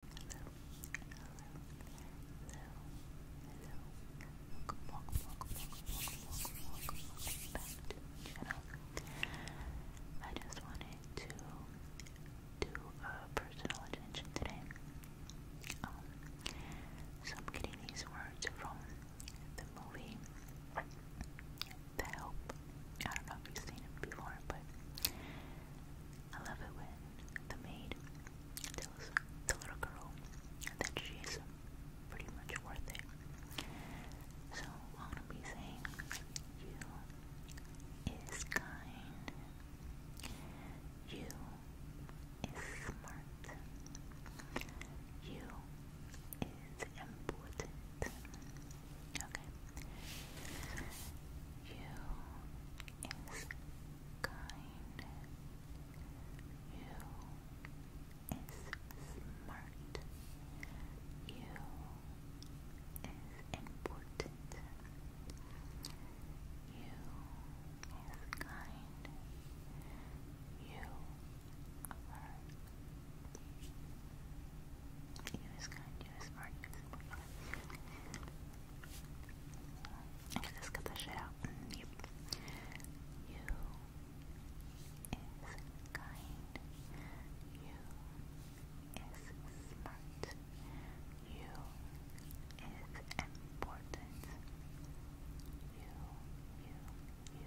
welcome back to the channel. I just wanted to do a personal attention today. Um, so I'm getting these words from the movie The Help. I don't know if you've seen it before, but I love it when the maid tells the little girl that she's pretty much worth it. So I wanna be saying you is kind. You is smart. You is important. Okay. You is kind. You is smart. You is important. You is kind. You are he was kind, he was smart, he was smart. let's get the shit Yep. You is kind. You is smart. You is important. You, you, you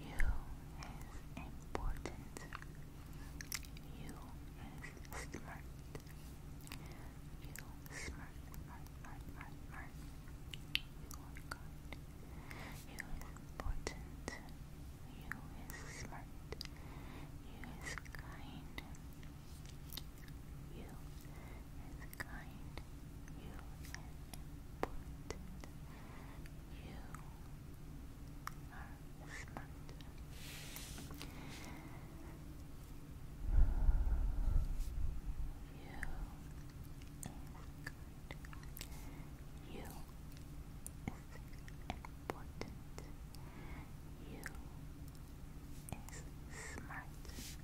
you is important. You is smart. You smart, You are good. You is important. You is smart. You is kind. You is kind. You is important. You you are smart. You is good. You is important. You is smart.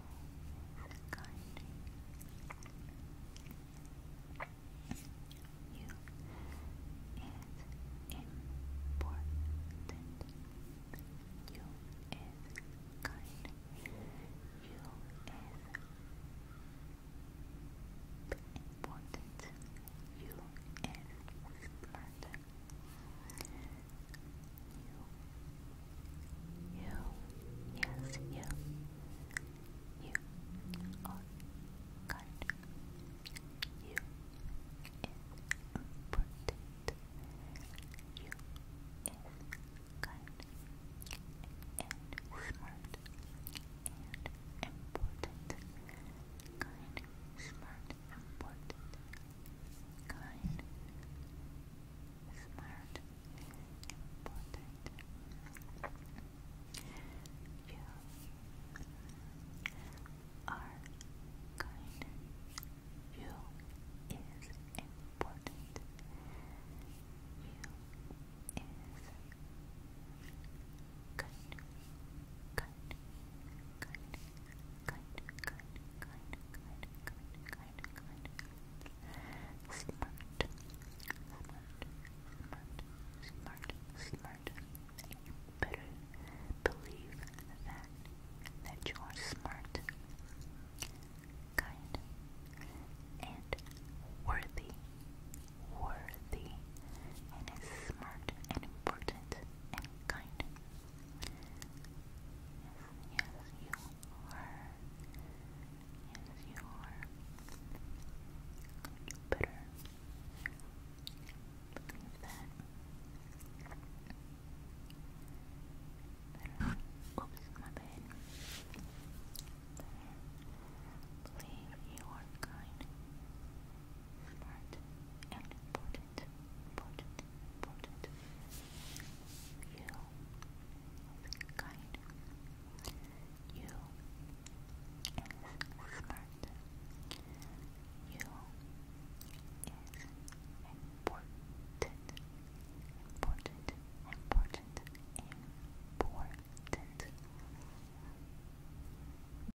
and You is important. You is kind. You is important. You is smart. You you. Yes, you. You are good. You is important. You is kind and smart and important. Kind, smart, important. Kind. Smart, important, kind, smart, important. You are kind. You is important. You is kind, kind, kind kind, kind, kind, kind, kind, kind, kind, smart, smart, smart, smart, smart. You better believe that that you are smart, kind, and worthy, worthy, and is smart and important and kind. Yes, yes, you are. Yes, you are. You better believe that. Oops, my bad. believe you are kind, smart, and important important, important, You are kind. You is smart. You is important, important, important, important.